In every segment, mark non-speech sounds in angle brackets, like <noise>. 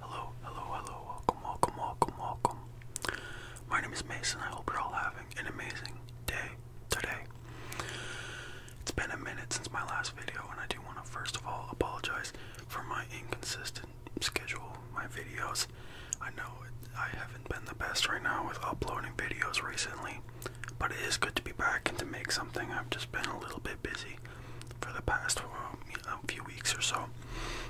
Hello, hello, hello, welcome, welcome, welcome, welcome. My name is Mason. I hope you're all having an amazing day today. It's been a minute since my last video, and I do want to first of all apologize for my inconsistent schedule, my videos. I know I haven't been the best right now with uploading videos recently, but it is good to be back and to make something. I've just been a little bit busy for the past well, a few weeks or so,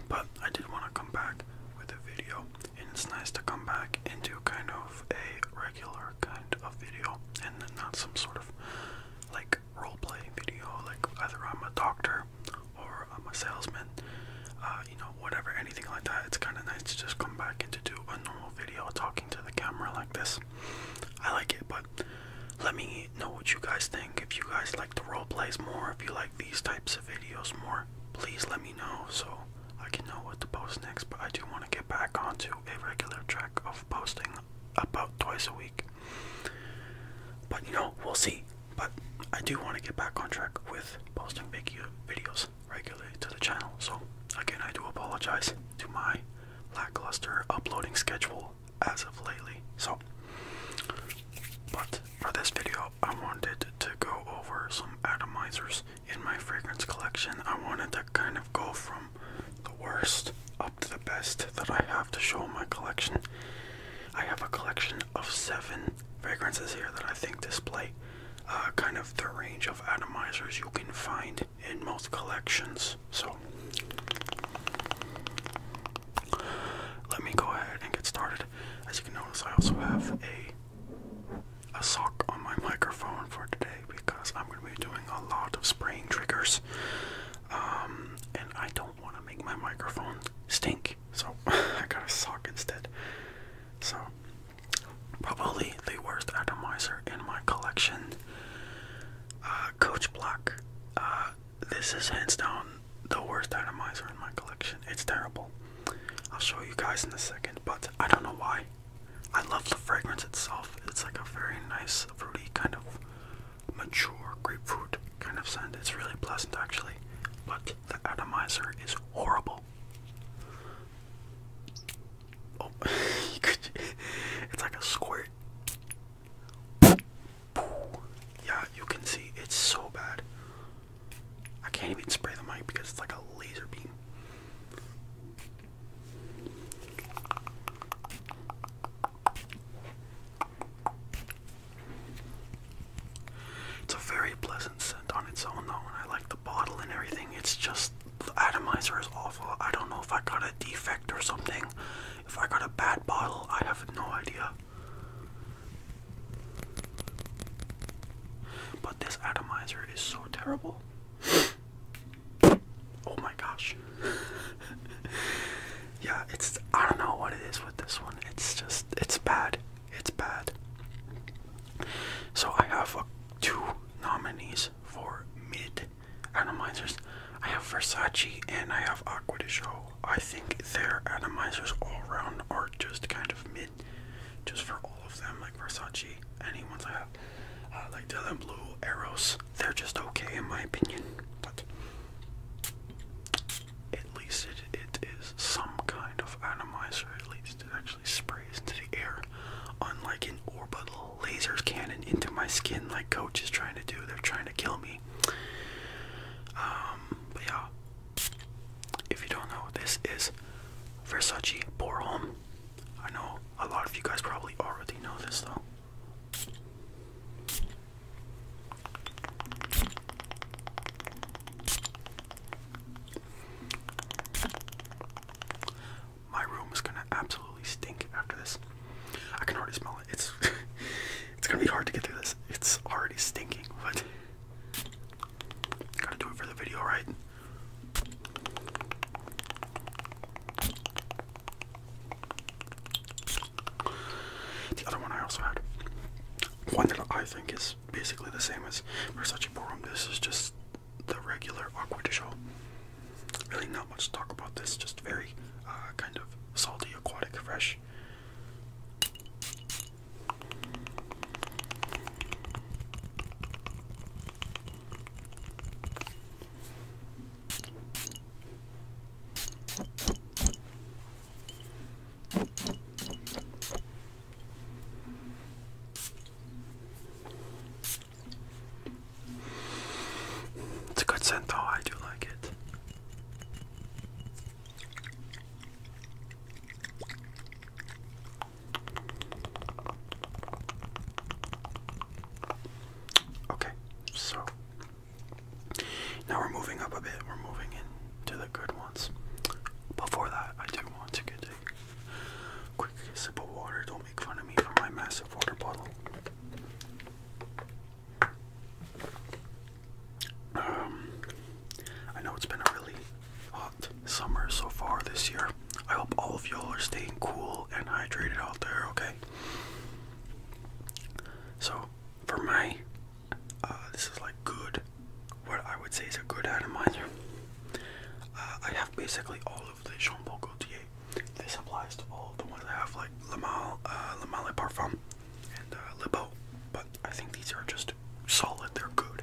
but I did want to come back with a video, and it's nice to come back and do kind of a regular kind of video, and not some sort of like role play video, like either I'm a doctor or I'm a salesman, uh, you know, whatever, anything like that. It's kind of nice to just come back and to do a normal video talking to the camera like this. I like it, but let me know what you guys think. If you guys like the role plays more, if you like these types of videos more, please let me know so I can know what to post next. But I do want to get back onto a regular track of posting about twice a week. But you know, we'll see. But I do want to get back on track with posting video uh, videos regularly to the channel. So again, I do apologize to my lackluster uploading schedule as of lately. So, but for this video, I wanted to go over some atomizers in my fragrance collection. I wanted to kind of go from the worst up to the best that I have to show my collection. I have a collection of seven fragrances here that I think display uh, kind of the range of atomizers you can find in most collections. So let me go ahead and get started. As you can notice, I also have a a sock on my microphone for today because I'm going to be doing a lot of spraying triggers, um, and I don't want to make my microphone stink. So <laughs> I got a sock instead. So probably the worst atomizer in my collection uh, Coach Block. Uh, this is hands down the worst atomizer in my collection. It's terrible. I'll show you guys in a second, but I don't know why. I love the fragrance itself. It's like a very nice, fruity, kind of mature grapefruit kind of scent. It's really pleasant, actually. But the atomizer is horrible. <laughs> Oh, it's like a squirt. Yeah, you can see it's so bad. I can't even spray the mic because it's like a laser beam. It's a very pleasant scent on its own though, I like the bottle and everything. It's just the atomizer is awful. I don't know if I got a defect or something. If I got a bad bottle, I have no idea. But this atomizer is so terrible. <laughs> Oh my gosh. <laughs> yeah, it's I don't know what it is with this one. It's just it's bad. It's bad. So I have uh, two nominees for mid Atomizers. I have Versace and I have Aqua de Show. I think their atomizers all around are just kind of mid, just for all of them. Like Versace, any ones I have, uh, like Dylan Blue, Arrows, they're just okay in my opinion. But at least it is some kind of atomizer. At least it actually sprays into the air, unlike an orbital Laser cannon into my skin like coach is trying to do. They're trying to kill me. Um, but yeah, if you don't know, this is Versace Borholm. I know a lot of you guys probably already know this though my room is gonna absolutely stink after this. I can already smell it. It's <laughs> it's gonna be hard to get through this. It's already stinking, but gotta do it for the video, right? The other one I also had, one that I think is basically the same as Versace Ballroom. This is just the regular Aqua Show really not much to talk about this, just very uh, kind of salty, aquatic, fresh. It's a good scent though, I do like it. Okay, so now we're moving up a bit, we're moving into the good ones. Before that, I do want to get a quick sip of water. Don't make fun of me for my massive water bottle. Um, I know it's been a really hot summer so far this year. I hope all of y'all are staying cool and hydrated out there, okay? So, for my, uh, this is like good, what I would say is a good atomizer. Uh, I have basically all of Jean Paul Gaultier. This applies to all the ones that have like Le Mal, uh, Le Mal Parfum, and uh, Le Beau. But I think these are just solid. They're good.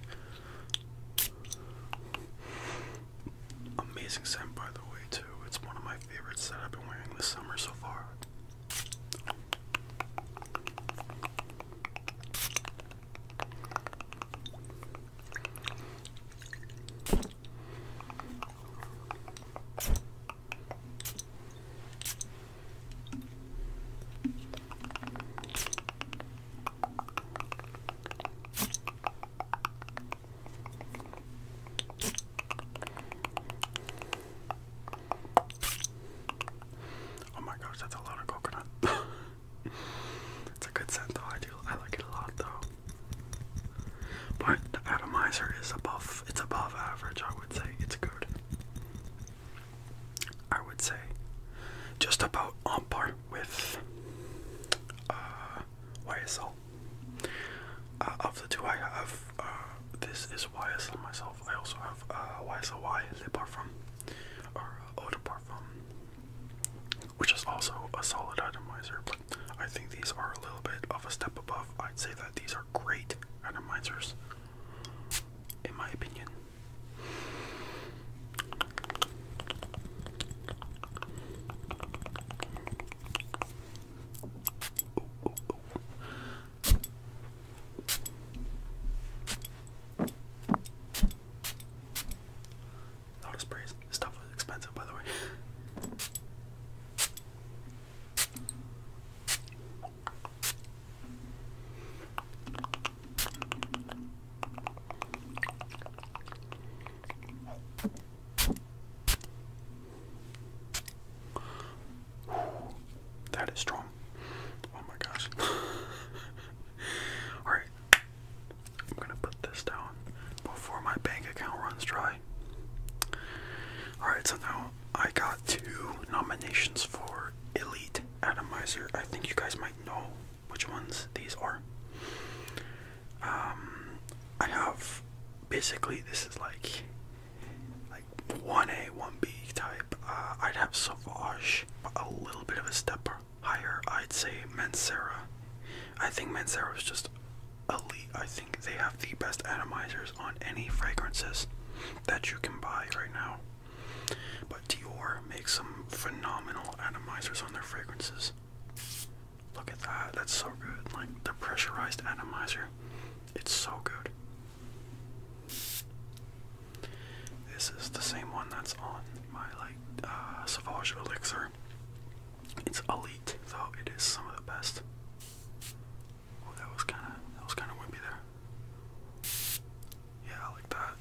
Amazing scent, by the way, too. It's one of my favorites that I've been wearing this summer so far. Oh my gosh, that's a lot of coconut. <laughs> it's a good scent though. I do I like it a lot though. But the atomizer is above it's above average, I would say. It's good. I would say just about on par with uh, YSL. Uh, of the two I have, uh, this is YSL myself. I also have uh, YSLY, Le Parfum, or uh, Parfum, which is also a solid atomizer, I think these are a little bit of a step above. I'd say that these are great reminders. in my opinion. Not a sprays. This stuff was expensive, by the way. That is strong. Oh my gosh. <laughs> Alright. I'm gonna put this down before my bank account runs dry. Alright, so now I got two nominations for Elite Atomizer. I think you guys might know which ones these are. Um, I have basically this is like like 1A, 1B type. Uh, I'd have Sauvage, a little bit of a step higher. I'd say Mancera. I think Mancera is just elite. I think they have the best atomizers on any fragrances that you can buy right now. But Dior makes some phenomenal atomizers on their fragrances. Look at that, that's so good. Like the pressurized atomizer, it's so good. This is the same one that's on my like uh, Sauvage Elixir. It's elite, though it is some of the best. Oh, that was kind of that was kind of wimpy there. Yeah, like that.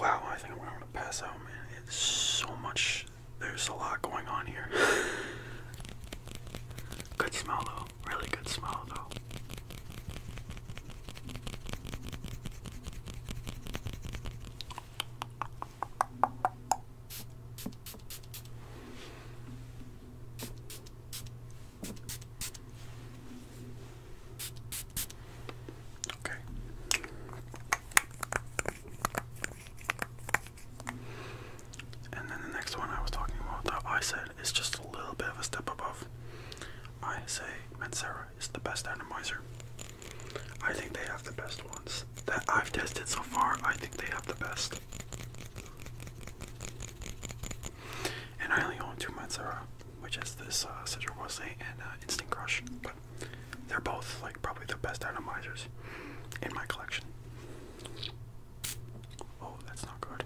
Wow, I think I'm gonna pass out, man. It's so much. There's a lot going on here. <laughs> good smell though. Really good smell though. Okay. And then the next one I was talking about that I said is just a little bit of a step above. I say Mancera is the best atomizer. I think they have the best ones that I've tested so far, I think they have the best. And I only own two Matsura, which is this uh, Citrus and uh, Instinct Crush, but they're both like probably the best atomizers in my collection. Oh, that's not good.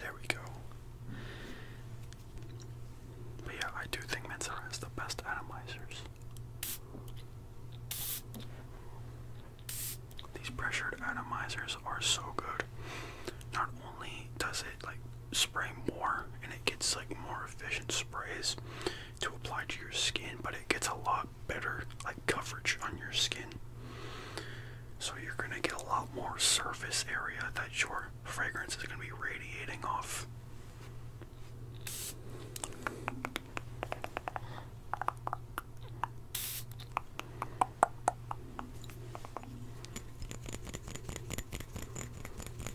There we go. But yeah, I do think Matsura is the best atomizers. These pressured atomizers are so good. Not only does it like spray more and it gets like more efficient sprays to apply to your skin, but it gets a lot better like coverage on your skin. So you're gonna get a lot more surface area that your fragrance is gonna be radiating off.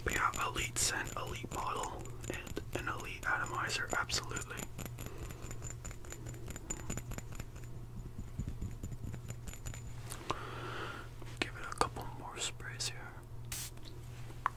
But yeah, elite scent, elite bottle, and an elite atomizer, absolutely. Give it a couple more sprays here.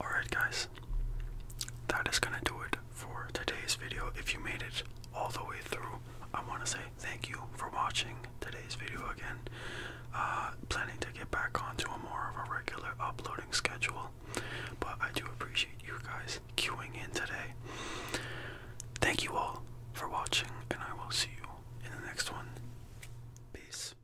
Alright, guys, that is gonna do it for today's video. If you made it all the way through, I wanna say thank you for watching today's video again. Uh, planning to get back onto a more of a regular uploading schedule, but I do appreciate you guys queuing in today. Thank you all for watching, and I will see you in the next one. Peace.